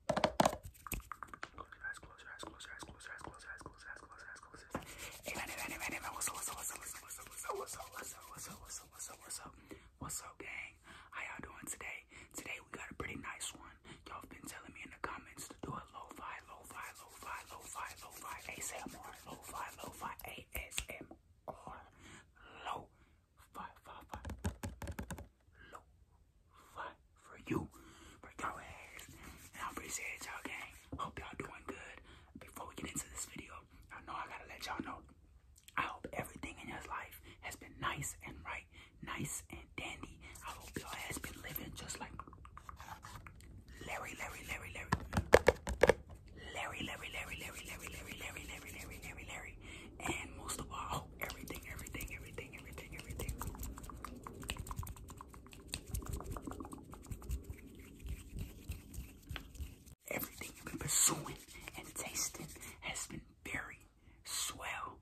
Close your eyes, close your eyes, close your eyes, close your eyes, close your eyes, close your eyes, close your eyes, close your eyes. Amen, amen, amen, amen. What's up, what's up, what's up, what's up, what's up, what's up, what's up, what's up, what's up, what's up, what's up, what's up, gang? How y'all doing today? Today we got a pretty nice one. Y'all been telling me in the comments to do a lo-fi, lo-fi, lo-fi, lo-fi, lo-fi, ASMR, lo-fi, lo-fi, ASMR, lo-fi, fi, fi lo-fi for you, for your ass. And I appreciate y'all, gang. Hope y'all doing good. Before we get into this video, I know I gotta let y'all know. I hope everything in your life has been nice and right, nice and dandy. I hope y'all has been living just like Larry, Larry, Larry, Larry, Larry, Larry, Larry, Larry, Larry, Larry, Larry, Larry, Larry, Larry, Larry, Larry. And most of all, I hope everything, everything, everything, everything, everything. Everything you've been pursuing and tasting has been very swell.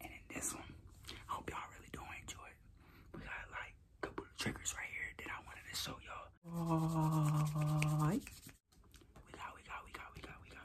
And in this one, I hope y'all really do enjoy it. We got like a couple of triggers right here that I wanted to show y'all. Right. We got, we got, we got, we got, we got,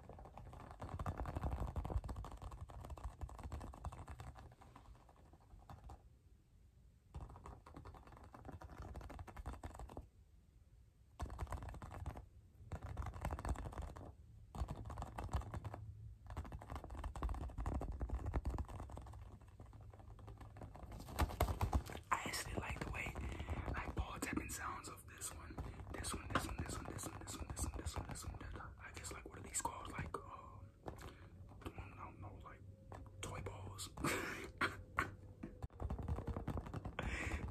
I actually like the way like ball tapping sounds of this one, this one, this one, this one, this one, this one, this one, this one, this one, that I guess like what are these called? Like uh I don't know, like toy balls.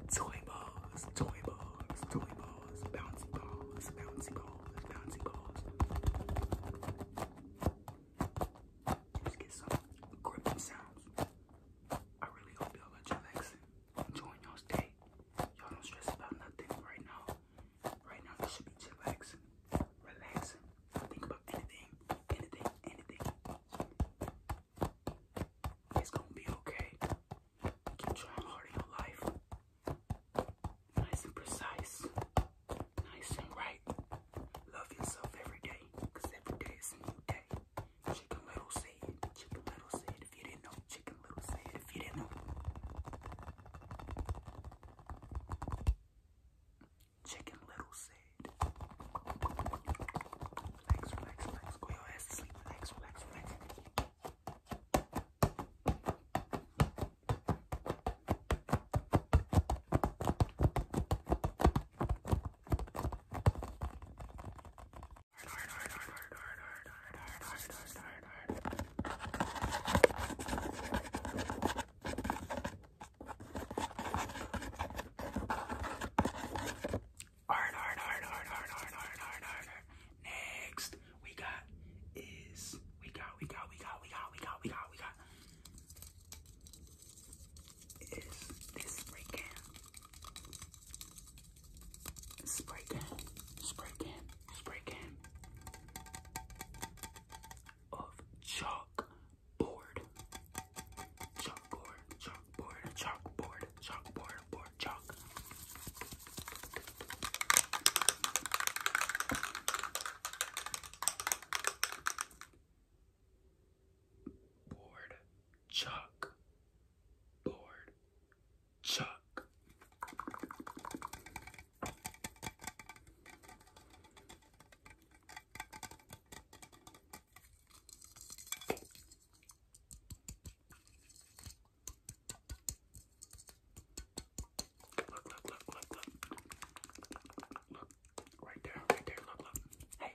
toy balls, toy balls, toy balls, bouncy balls, bouncy balls, bouncy balls. Just get some gripping sounds. I really hope y'all are relaxing enjoying y'all's day. Y'all don't stress about nothing right now. Right now, you should be chillaxing, relaxing. Don't think about anything, anything, anything. It's gonna be okay. Keep trying hard in your life. Nice and precise. Nice and right. Love yourself every day, every day is a new day. Chicken Little said, Chicken Little said, if you didn't know, Chicken Little said, if you didn't know. Chicken Little said, relax, relax, relax, go your ass to sleep, relax, relax, relax. Next, we got is we got we got we got we got we got we got we got is this freaking Spray can, spray can, spray can of chalkboard, chalkboard, chalkboard, chalkboard, chalkboard, board chalk board, chalk, board, chalk. Look, look, look, look, look. Look, right there, right there, look, look. Hey,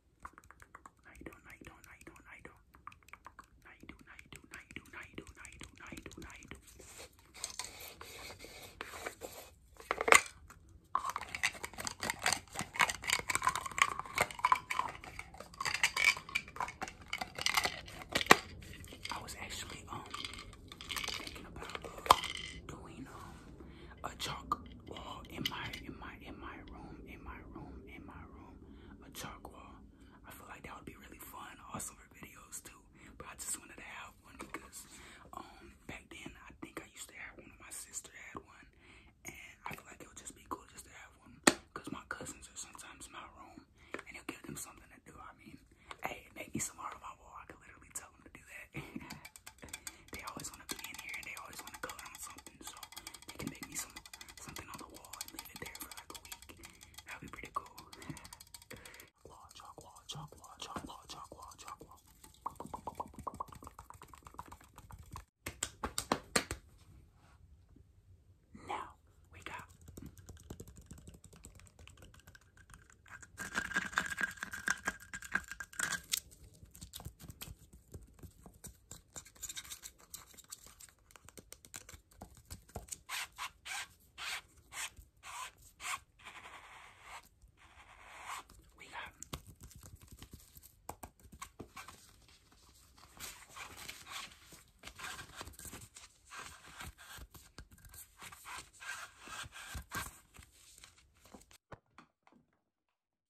Now don't, don't, don't, don't. do, now do, now do, now do, now do, now do, now do. I was actually um thinking about doing um a chalk wall in my in my in my room in my room in my room a chalk wall. I feel like that would be really fun, also for videos too. But I just wanted to have one because um back then I think I used to have one. My sister had one, and I feel like it would just be cool just to have one. Cause my cousins are sometimes in my room, and you will give them something to do. I mean, hey, make me some art on my wall. I could literally tell them to do that. they always want to be in here, and they always want to go on something something, so they can make me some something on the wall and leave it there for like a week. That'd be pretty cool. Law, chalk, law, chalk, chalk, chalk, chalk, Now we got we got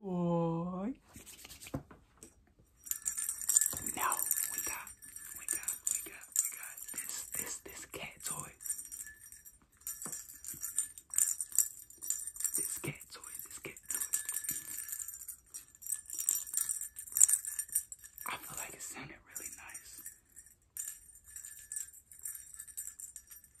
Oy! Now we got, we got, we got, we got this, this, this cat toy. This cat toy, this cat toy. I feel like it sounded really nice.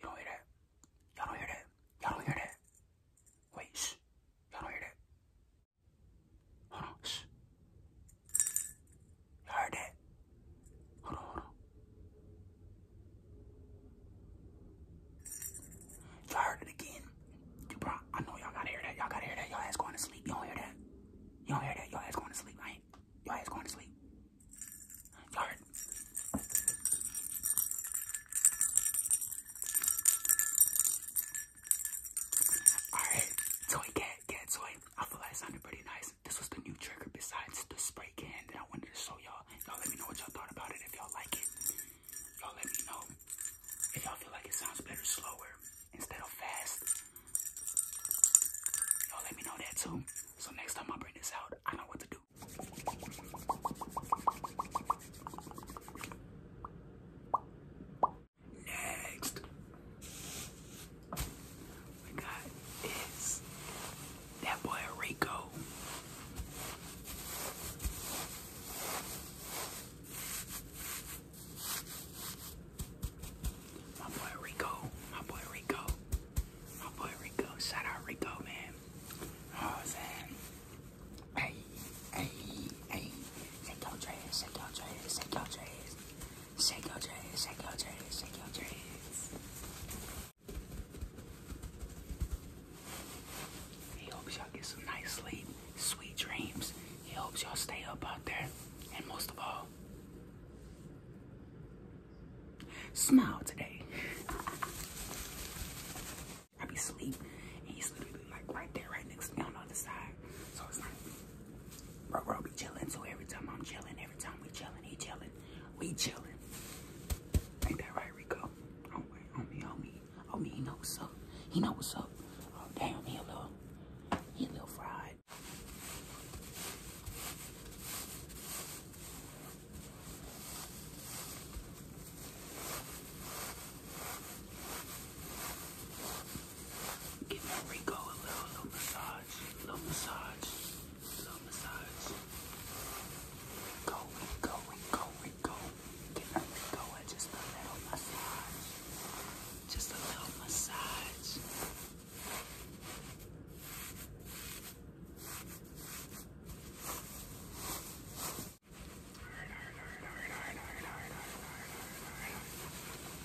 you do hear that. Y'all hear that. Y'all hear that. Wait, y'all hear that. Hold on, shh. Y'all heard that? Hold on, hold on. Y'all heard it again. You bro, I know y'all gotta hear that. Y'all gotta hear that. Y'all ass going to sleep. You all hear that. You do hear that. Y'all ass going to sleep, right? Y'all ass going to sleep. you Alright, toy cat, cat toy. I feel like it sounded pretty nice. This was the new trigger besides the spray can that I wanted to show y'all. Y'all let me know what y'all thought about it if y'all like it. Y'all let me know if y'all feel like it sounds better slower instead of fast. Y'all let me know that too. So next time I bring this out, I know what to do. Next, we got is that boy Rico. My boy Rico, my boy Rico, my boy Rico, shout out Rico, man. Oh, man. Hey, hey, hey, shake your trays, shake your trays, shake your trays, shake your trays, shake your trays, shake your trays. He hopes y'all get some nice sleep sweet dreams. He hopes y'all stay up out there. And most of all, smile today. I be sleep, and he's literally like right there, right next to me on the other side. So it's like, bro, bro, be chilling. So every time I'm chilling, every time we chilling, he chilling, we chilling. Ain't that right, Rico? Oh, homie, homie, I oh, mean, he knows what's up. He knows what's up. Oh, damn, he a little, he a little fried. Give Rico a little, little massage, little massage, little massage. Go, go, go, wrinkle, give her wrinkle with just a little massage. Just a little massage.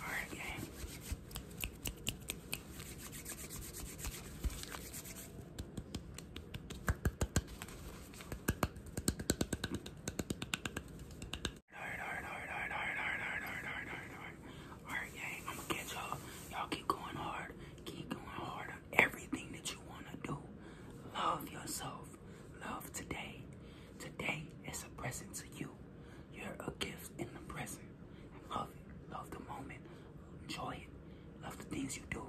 Alright, game. Okay. Alright, gang, I'm gonna catch y'all. Y'all keep going hard. Keep going hard on everything that you wanna do. Love yourself. Love today. Today is a present to you. You're a gift in the present. Love it. Love the moment. Enjoy it. Love the things you do.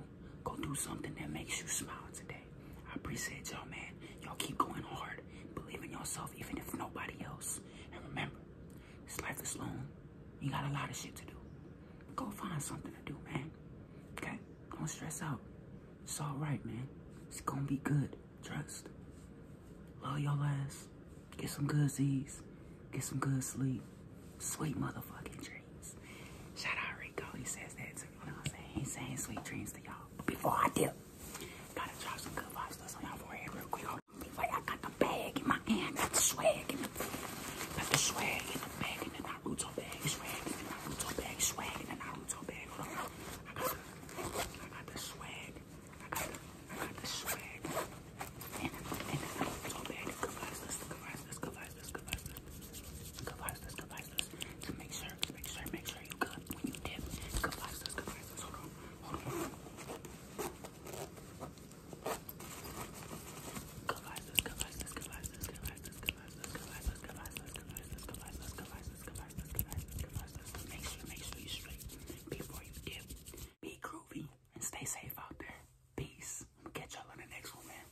Go do something that makes you smile today. I appreciate y'all, man. Y'all keep going hard. Believe in yourself, even if nobody else. And remember, this life is long. You got a lot of shit to do. Go find something to do, man. Okay? Don't stress out. It's all right, man. It's gonna be good. Trust. Love y'all, ass. Get some goodies. Get some good sleep. Sweet motherfucking dreams. Shout out Rico. He says that too music, know what I'm saying? Saying sweet dreams to y'all. Before I dip, gotta drop some good vibes on y'all forehead real quick. I got the bag in my hand, got the swag in the got the swag in the bag in the Naruto bag, swag in the Naruto bag, swag in the Naruto bag. on. I I got the swag. I got the, I got the swag. And and the Naruto bag. Good vibes, let's good vibes, let's good let's good let's good let's good to make sure, make sure, make sure you good when you dip. Good glasses, good glasses. Hold on, hold on. Good glasses, good glasses, good glasses, good glasses, good glasses, good glasses, good glasses, good glasses, good glasses, good glasses, good glasses, good glasses, Make sure, make sure you straight before you dip. Be groovy and stay safe out there. Peace. Catch y'all in the next one, man.